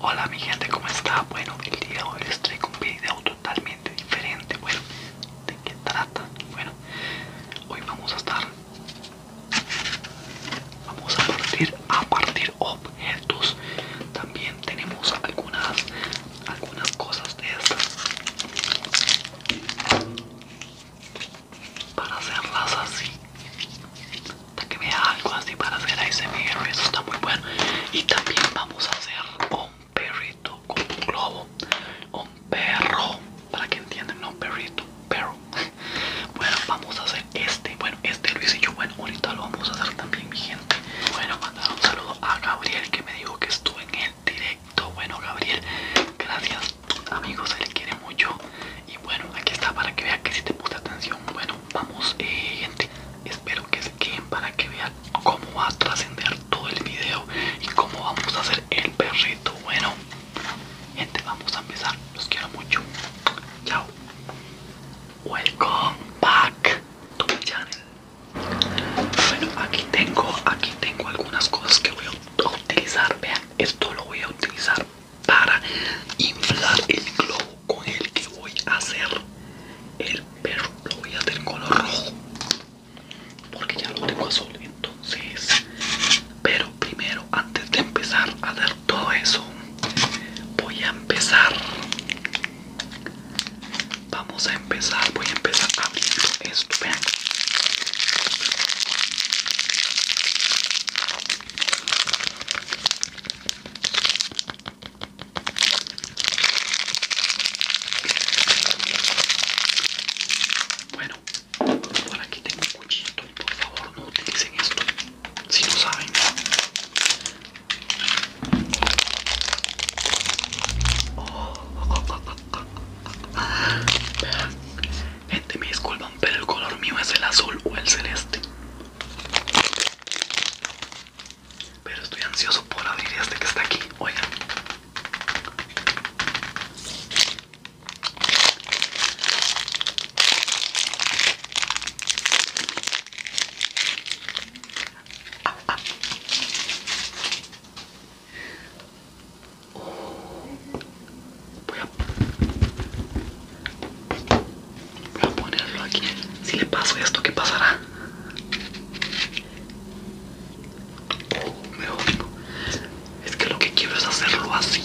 Hola mi gente, ¿cómo está? Bueno, el día de hoy les traigo un video totalmente diferente. Bueno, ¿de qué trata? Bueno, hoy vamos a estar... Vamos a partir, a partir objetos. También tenemos algunas, algunas cosas de estas. Para hacerlas así. Para que vea algo así para hacer ASMR, eso está muy bueno. Y también vamos a hacer un perrito con un globo, un perro, para que entiendan, no perrito, perro. Bueno, vamos a hacer este, bueno, este lo hice yo, bueno, ahorita lo vamos a hacer también mi gente. Bueno, mandar un saludo a Gabriel que me dijo que estuve en el directo. Bueno, Gabriel, gracias, amigos, él quiere mucho. Y bueno, aquí está para que vea que si te puse atención, bueno vamos eh, gente, espero que se queden para que vean cómo va a trascender todo el video y cómo vamos a hacer el perrito. Bueno, gente, vamos a empezar. Los quiero mucho. Chao. Welcome back to my channel. Bueno, aquí tengo, aquí tengo algunas cosas que voy a utilizar. Vean, esto lo voy a utilizar para inflar el globo con el que voy a hacer el perro lo voy a hacer en color rojo porque ya lo tengo azul entonces pero primero antes de empezar a hacer todo eso voy a empezar vamos a empezar voy a empezar abriendo esto vean bueno, por aquí tengo un cuchito, por favor no utilicen esto si no saben. Gente, me disculpan, pero el color mío es el azul o el celeste. Pero estoy ansioso por abrir este que está aquí. Oigan. Voy a Voy a ponerlo aquí. Si le paso esto, ¿qué pasará? Oh, es que lo que quiero es hacerlo así.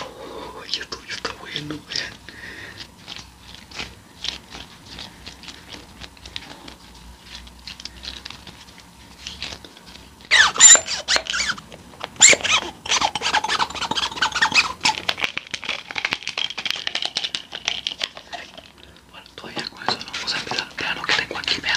Oh, yo, estoy, yo está bueno, vean. Bueno, todavía con eso no vamos a empezar. Vean lo que tengo aquí, vean.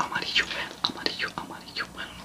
Amarillo, amarillo, amarillo, bueno, no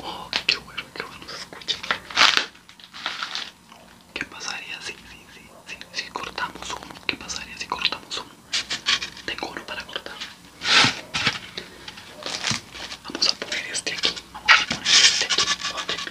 Oh, qué bueno, qué bueno se escucha. ¿Qué pasaría si, si, si, cortamos uno? ¿Qué pasaría si cortamos uno? Tengo uno para cortar. Vamos a poner este aquí. Vamos a poner este aquí.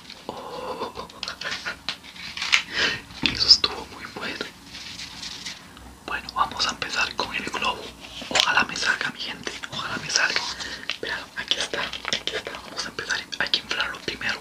Oh. Eso estuvo muy bueno. Bueno, vamos a empezar con el globo. Ojalá me salga, mi gente. Ojalá me salga. Espera, aquí está. Aquí está. Vamos a empezar. Hay que inflarlo primero.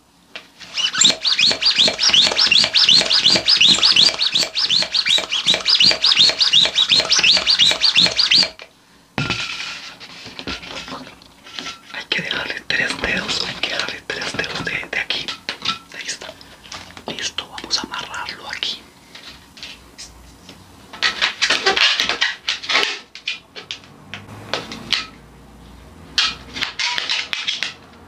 Hay que dejarle tres dedos, hay que dejarle tres dedos de, aquí. Ahí Listo, vamos a amarrarlo aquí.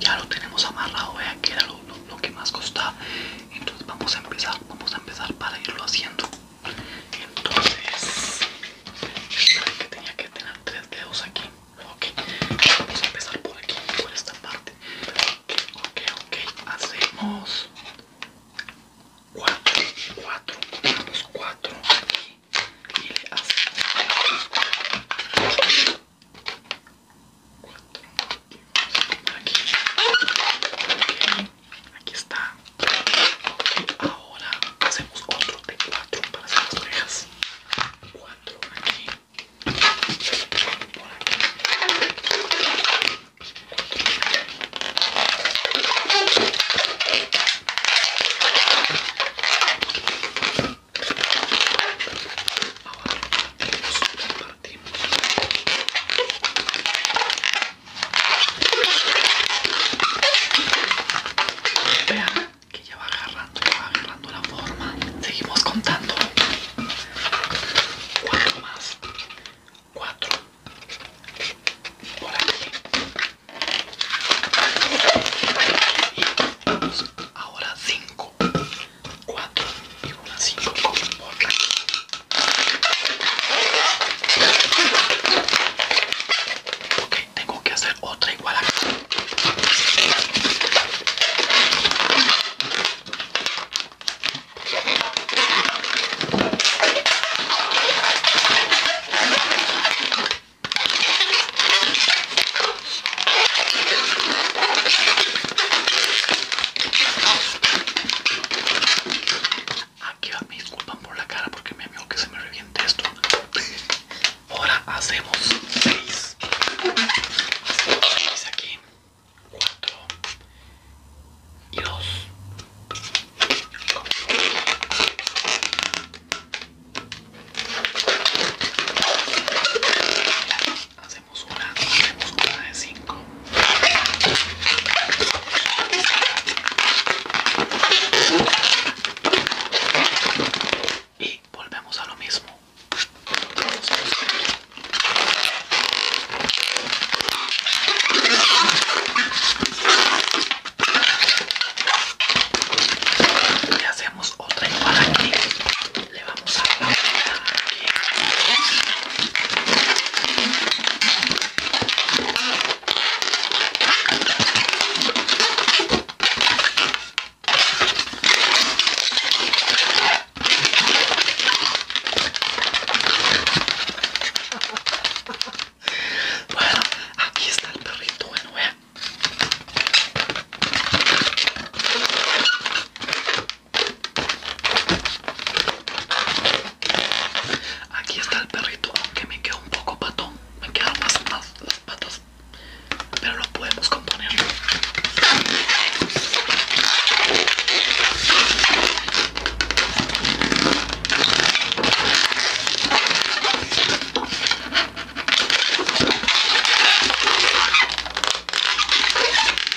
ya lo tenemos amarrado vea que era lo, que más costaba entonces vamos a empezar vamos a empezar para irlo haciendo entonces que tenía que tener tres dedos aquí ok vamos a empezar por aquí por esta parte ok ok ok hacemos cuatro cuatro ponemos cuatro aquí y le hacemos aquí. Aquí está. Ahora hacemos otro de cuatro para hacer las orejas. Cuatro aquí ahora súper partimos vean que ya va agarrando va agarrando la forma seguimos contando cuatro más cuatro por aquí y ahora cinco 4 y una cinco. por tengo que hacer otra igual Aquí va, me disculpan por la cara porque me amigo que se me reviente esto. Ahora hacemos 6. Hacemos 6 aquí. 4 y 2 hacemos una, hacemos una de cinco. Y volvemos a lo mismo. Y hacemos otra igual aquí le vamos a la aquí. bueno, aquí está el perrito, bueno, vean. Aquí está el perrito, aunque me queda un poco patón, me quedan más, patas, las patas, pero lo podemos componer.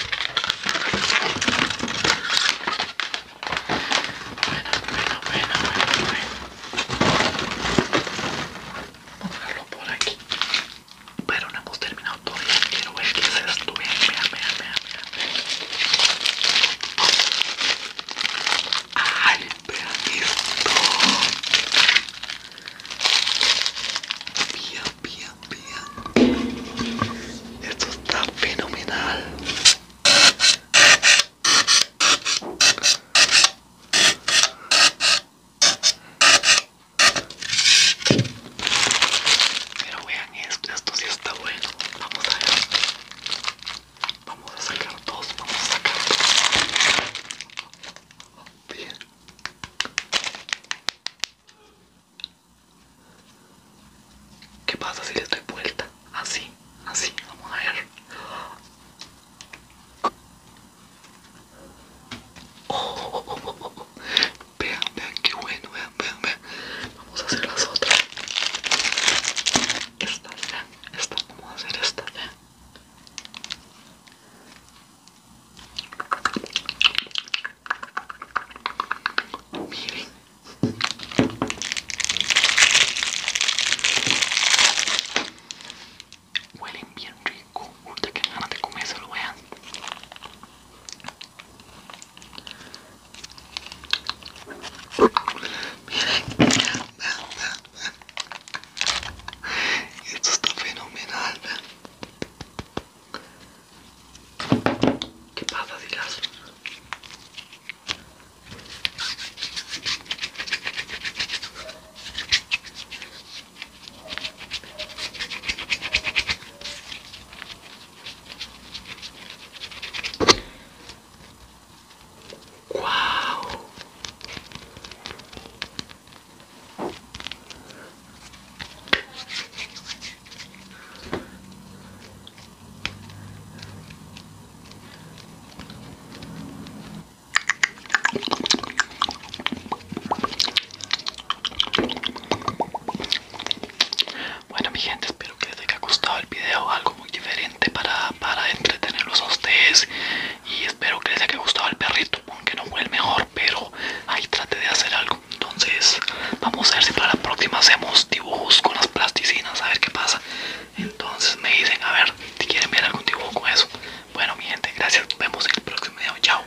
Bueno, bueno, bueno, bueno. Vamos a dejarlo por aquí. Pero no hemos terminado todavía. Quiero ver qué es esto. Vean, mira, vean, vean, vean. ¡Ay, vean esto! bien, bien. Esto está fenomenal. Pero vean esto, esto sí está bueno. Vamos a ver. Vamos a sacar dos, vamos a sacar dos. Bien. ¿Qué pasa si le doy vuelta? Así, así, vamos a ver. Oh, Vean, vean, qué bueno, vean, vean, vean. Vamos a hacer las otras. Esta, vean, esta, vamos a hacer esta, vean. Miren. Huelen bien rico. que ganas de comérselo, vean. Miren, esto está fenomenal. ¿Qué pasa, dirás? ¡Wow! Bueno mi gente, espero que les haya gustado el video, algo muy diferente para, entretenerlos a ustedes y espero que les haya gustado el perrito, aunque no fue el mejor pero ahí trate de hacer algo entonces vamos a ver si para la próxima hacemos dibujos con las plasticinas a ver qué pasa entonces me dicen a ver si quieren ver algún dibujo con eso bueno mi gente gracias nos vemos en el próximo video chao